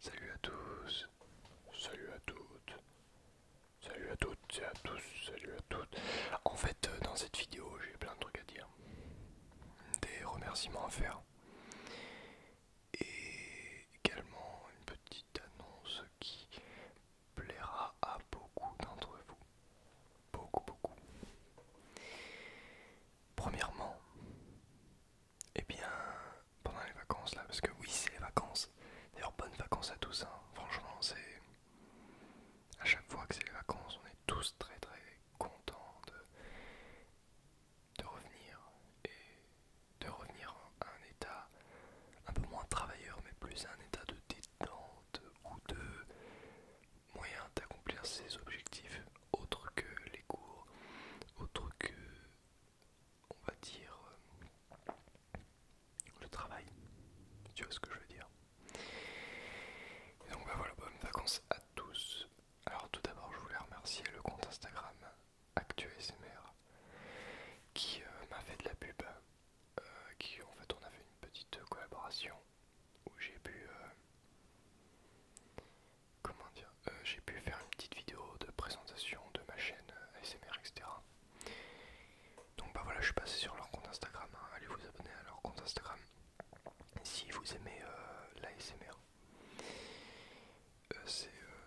Salut à tous, salut à toutes, salut à toutes et à tous, salut à toutes. En fait, euh, dans cette vidéo, j'ai plein de trucs à dire, des remerciements à faire et également une petite annonce qui plaira à beaucoup d'entre vous. Beaucoup, beaucoup. Premièrement, eh bien, pendant les vacances là, parce que oui, c'est les vacances. D'ailleurs, bonnes vacances à tous. Hein. Franchement, c'est à chaque fois que c'est les vacances, on est tous très très contents de, de revenir et de revenir à un état un peu moins travailleur, mais plus à un état de détente ou de moyen d'accomplir ses objectifs autre que les cours, autre que, on va dire, euh, le travail. Tu vois ce que je veux dire donc bah voilà, bonnes vacances à tous. Alors tout d'abord, je voulais remercier le compte Instagram SMR qui euh, m'a fait de la pub, euh, qui en fait on a fait une petite collaboration où j'ai pu comment dire, euh, j'ai pu faire une petite vidéo de présentation de ma chaîne euh, ASMR, etc. Donc bah voilà, je suis passé sur leur compte Instagram, hein. allez vous abonner à leur compte Instagram si vous aimez euh, la l'ASMR.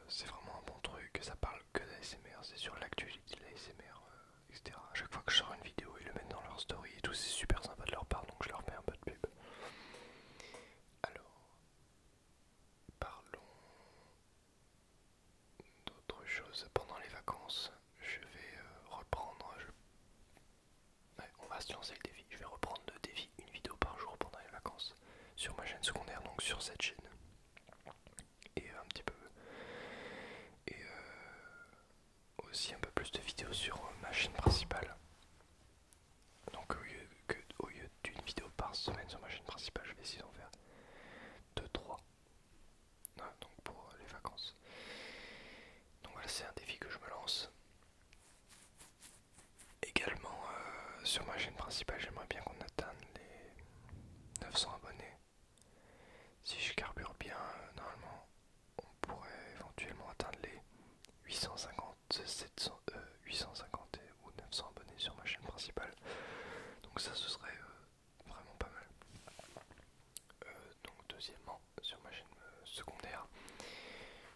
c'est vraiment un bon truc, ça parle que d'ASMR, c'est sur l'actualité de l'ASMR, etc. À chaque fois que je sors une vidéo, ils le mettent dans leur story et tout, c'est super sympa de leur part, donc je leur mets un peu de alors, parlons d'autre chose. Pendant les vacances, je vais euh, reprendre. on va se lancer le défi. Je vais reprendre le défi une vidéo par jour pendant les vacances sur ma chaîne secondaire, donc sur cette chaîne. Et un petit peu. Et euh, aussi un peu plus de vidéos sur euh, ma chaîne principale. Donc au lieu, au lieu d'une vidéo par semaine sur ma chaîne principale, je vais essayer d'en faire 2-3. donc pour les vacances. Donc voilà, c'est un défi que je me lance. Également euh, sur ma chaîne principale, j'aimerais bien qu'on atteigne les 900 abonnés. Si je carbure bien, euh, normalement, on pourrait éventuellement atteindre les 850, euh, ou 900 abonnés sur ma chaîne principale. Donc ça, ce serait euh, vraiment pas mal. Euh, donc deuxièmement, sur ma chaîne secondaire,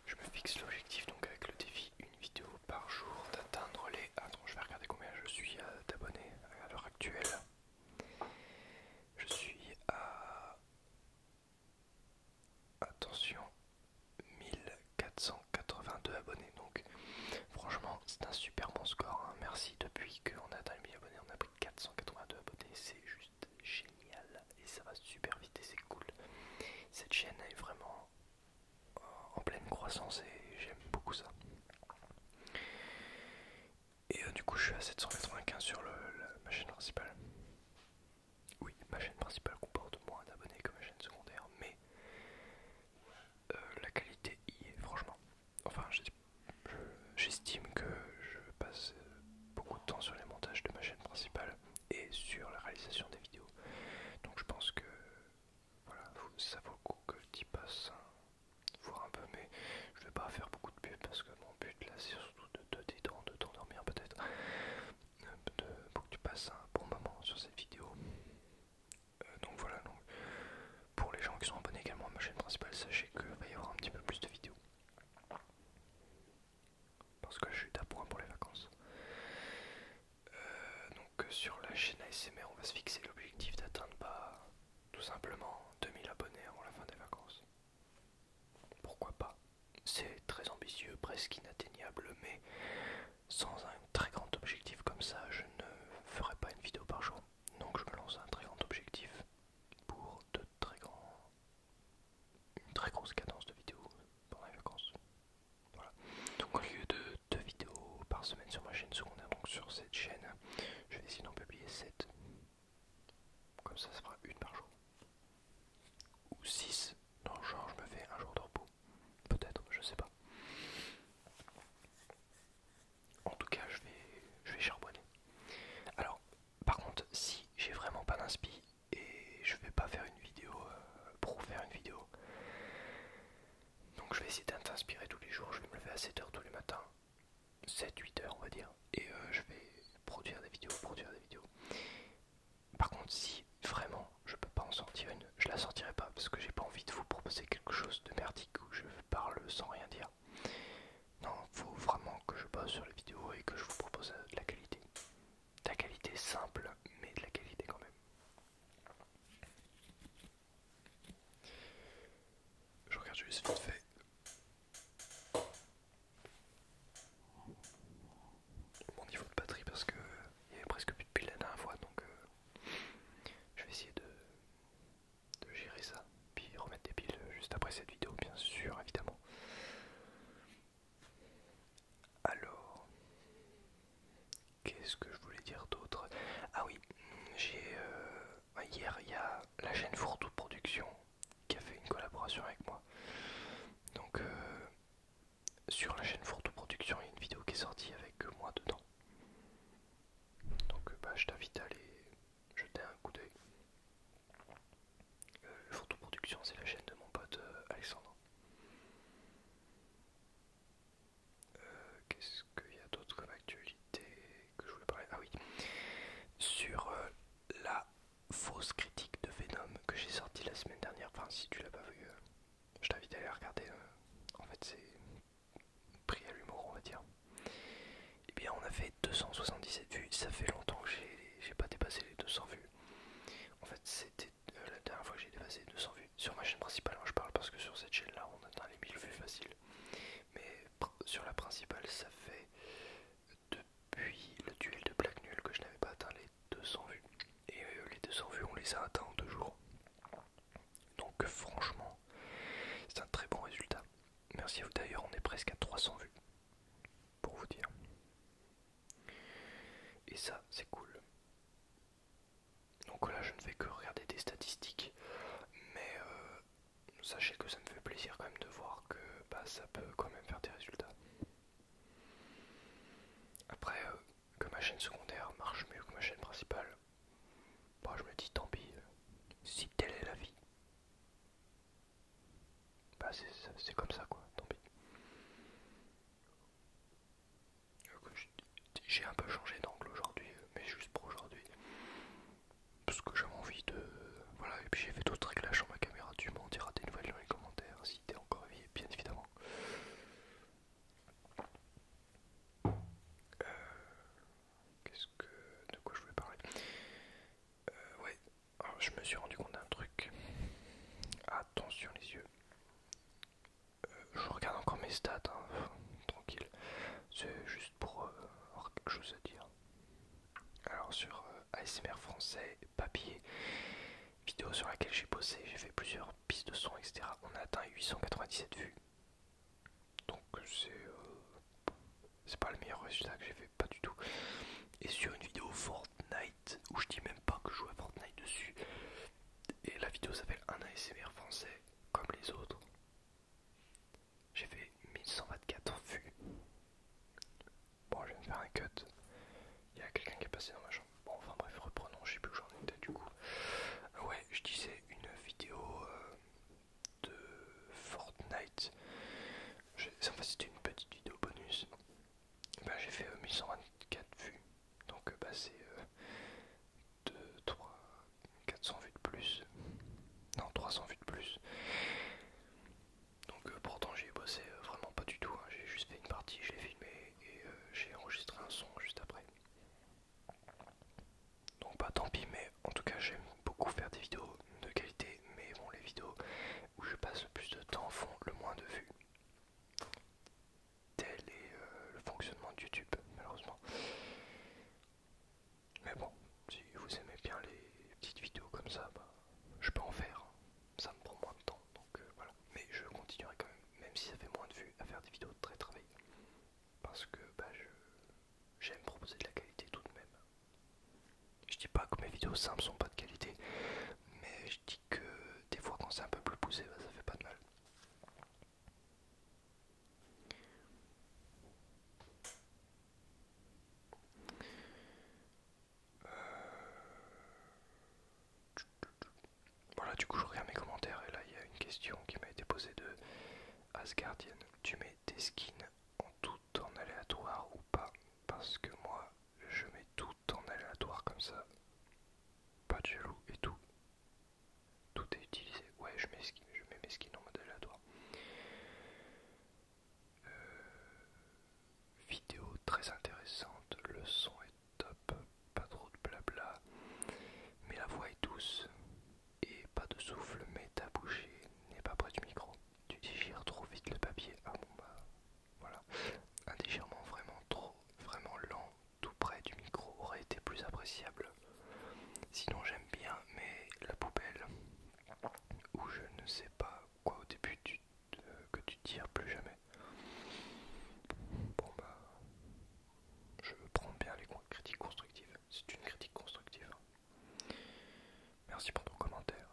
je me fixe l'objectif donc avec le défi une vidéo par jour d'atteindre les... Attends, je vais regarder combien je suis d'abonnés à l'heure actuelle. Je suis à Attention, 1482 abonnés. Donc, franchement, c'est un super bon score. Hein. Merci. Depuis qu'on a atteint les 1000 abonnés, on a pris 482 abonnés. C'est juste génial. Et ça va super vite et c'est cool. Cette chaîne est vraiment en pleine croissance et j'aime beaucoup ça. Et euh, du coup, je suis à 795 sur le, ma chaîne principale. Oui, ma chaîne principale comporte moins d'abonnés que ma chaîne secondaire, mais euh, la qualité y est, franchement. Enfin, j'estime que je passe euh, beaucoup de temps sur les montages de ma chaîne principale et sur la réalisation des vidéos. Donc je pense que voilà, ça vaut le coup que tu y passes voir un peu, mais je vais pas faire beaucoup de pub parce que mon but là c'est surtout de te détendre, de t'endormir peut-être, euh, pour que tu passes un bon moment sur cette vidéo. Euh, donc voilà, donc, pour les gens qui sont abonnés également à ma chaîne principale, sachez qu'il va y avoir un petit peu plus de vidéos parce que je suis point pour les vacances. Euh, donc sur la chaîne ASMR, on va se fixer l'objectif d'atteindre pas tout simplement 2000 abonnés avant la fin des vacances. Pourquoi pas C'est très ambitieux, presque inatteignable, mais sans un très grand objectif comme ça, je ne ferai pas une vidéo par jour. Donc je me lance un très grand objectif pour de très grands... une très grosse cadence de vidéos pendant les vacances. Voilà. Donc au lieu de deux vidéos par semaine sur ma chaîne secondaire, donc sur cette chaîne, je vais essayer d'en publier 7. Comme ça, ça sera une par jour. Ou 6. le genre, je me fais un jour de repos. Peut-être, je sais pas. En tout cas, je vais, je vais charbonner. Alors, par contre, si j'ai vraiment pas d'inspi et je vais pas faire une vidéo euh, pour faire une vidéo, donc je vais essayer d'inspirer tous les jours, je vais me lever à 7h tous les matins, 7-8h on va dire, et euh, je vais produire des vidéos, produire des vidéos. Par contre si vraiment je peux pas en sortir une, je la sortirai pas parce que j'ai pas envie de vous proposer quelque chose de merdique où je parle sans rien dire. Non, faut vraiment que je bosse sur les vidéos et que je vous propose euh, de la qualité. De la qualité simple, mais de la qualité quand même. Je regarde juste vite fait. Mon niveau de batterie parce que il y avait presque plus de piles la dernière fois donc euh, je vais essayer de, de gérer ça puis remettre des piles juste après cette vidéo bien sûr évidemment. Alors Qu'est-ce que je voulais dire d'autre Ah oui, j'ai euh, hier il y a la chaîne Fourtou Production qui a fait une collaboration avec moi. Donc euh, sur la chaîne Fourtou Production, il y a une vidéo qui est sortie avec moi dedans. Donc euh, bah, je t'invite à aller jeter un coup d'œil. Fourto Production, c'est la chaîne de mon pote Alexandre. Euh, qu'est-ce qu'il y a d'autre comme actualité que je voulais parler Ah oui, sur euh, la fausse critique de Venom que j'ai sortie la semaine dernière. Enfin, si tu l'as pas vu, euh, je t'invite à aller regarder. en fait, c'est pris à l'humour, on va dire. Et eh bien, on a fait 277 vues. Ça fait longtemps que j'ai pas dépassé les 200 vues. En fait, c'était euh, la dernière fois que j'ai dépassé 200 vues sur ma chaîne principale, moi hein, je parle parce que sur cette chaîne là on atteint les 1000 vues faciles, mais sur la principale ça fait depuis le duel de Black Nul que je n'avais pas atteint les 200 vues et euh, les 200 vues on les a atteints en deux jours donc franchement c'est un très bon résultat. Merci à vous d'ailleurs, on est presque à 300 vues pour vous dire. Et ça, c'est cool. Donc là, je ne fais que regarder des statistiques, mais euh, sachez que ça me fait plaisir quand même de voir que bah, ça peut quand même faire des résultats. Après, euh, que ma chaîne secondaire marche mieux que ma chaîne principale, bah, je me dis tant pis, euh, si telle est la vie. Bah c'est comme ça quoi, tant pis. J'ai un peu changé d'angle aujourd'hui, mais juste pour aujourd'hui. Parce que j'avais envie de. Voilà, et puis j'ai fait d'autres réglages sur ma caméra. Tu m'en diras des nouvelles dans les commentaires si t'es encore vieille, bien évidemment. Euh, qu'est-ce que. De quoi je voulais parler euh, Ouais, ah, je me suis rendu compte d'un truc. Attention les yeux. Euh, je regarde encore mes stats, hein. tranquille. C'est juste pour avoir euh, quelque chose à dire. Alors sur euh, ASMR français, papier, vidéo sur laquelle j'ai bossé, j'ai fait plusieurs pistes de son, etc. On a atteint 897 vues. Donc c'est pas le meilleur résultat que j'ai fait pas du tout. Et sur une vidéo Fortnite, où je dis même pas que je joue à Fortnite dessus. Et la vidéo s'appelle Un ASMR français, comme les autres. J'ai fait 1124 vues. Bon, je vais me faire un cut. Il y a quelqu'un qui est passé dans ma chambre. Bon, enfin bref, reprenons, je sais plus où j'en étais du coup. Ouais, je disais une vidéo euh, de Fortnite. En fait, c'était une petite vidéo bonus bah, j'ai fait 1124 euh, vues. Donc euh, bah, c'est 2, 3, 400 vues de plus. Non, 300 vues de plus. Donc euh, pourtant j'ai bossé vraiment pas du tout. Hein. J'ai juste fait une partie, j'ai filmé et j'ai enregistré un son juste après. Donc pas bah, tant pis, mais en tout cas j'aime beaucoup faire des vidéos de qualité, mais bon, les vidéos où je passe le plus de temps font le moins de vues. Tel est euh, le fonctionnement de YouTube, malheureusement. Mais bon, si vous aimez bien les petites vidéos comme ça, bah, je peux en faire. Hein. Ça me prend moins de temps, donc euh, voilà. Mais je continuerai quand même, même si ça fait moins de vues, à faire des vidéos très travaillées. Parce que bah, j'aime proposer de la qualité tout de même. Je dis pas que mes vidéos simples sont pas de qualité, mais je dis que des fois quand c'est un peu plus poussé, bah, ça fait pas de mal. Euh. Voilà, du coup, je regarde mes commentaires et là, il y a une question qui m'a été posée de Asgardienne des skins en tout en aléatoire ou pas parce que moi je mets tout en aléatoire comme ça pas de jaloux et tout tout est utilisé ouais je mets, je mets mes skins en mode aléatoire euh, vidéo très intéressante le son est top pas trop de blabla mais la voix est douce et pas de souffle, mais ta bouchée n'est pas près du micro. Tu digères trop vite le papier. Ah bon bah voilà. Un déchirement vraiment trop, vraiment lent, tout près du micro aurait été plus appréciable. Sinon j'aime bien, mais la poubelle où je ne sais pas quoi au début que tu tires plus jamais. Bon bah je prends bien les critiques constructives. C'est une critique constructive. Merci pour ton commentaire.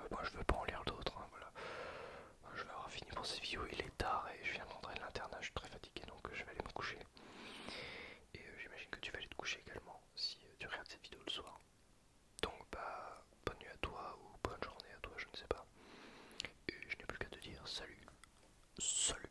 Euh, moi je veux pas en lire d'autres, hein, voilà. je vais avoir fini pour cette vidéo il est tard et je viens rentrer de l'internat, je suis très fatigué donc euh, je vais aller me coucher. Et euh, j'imagine que tu vas aller te coucher également si tu regardes cette vidéo le soir. Donc bah bonne nuit à toi ou bonne journée à toi, je ne sais pas. Et je n'ai plus qu'à te dire salut. Salut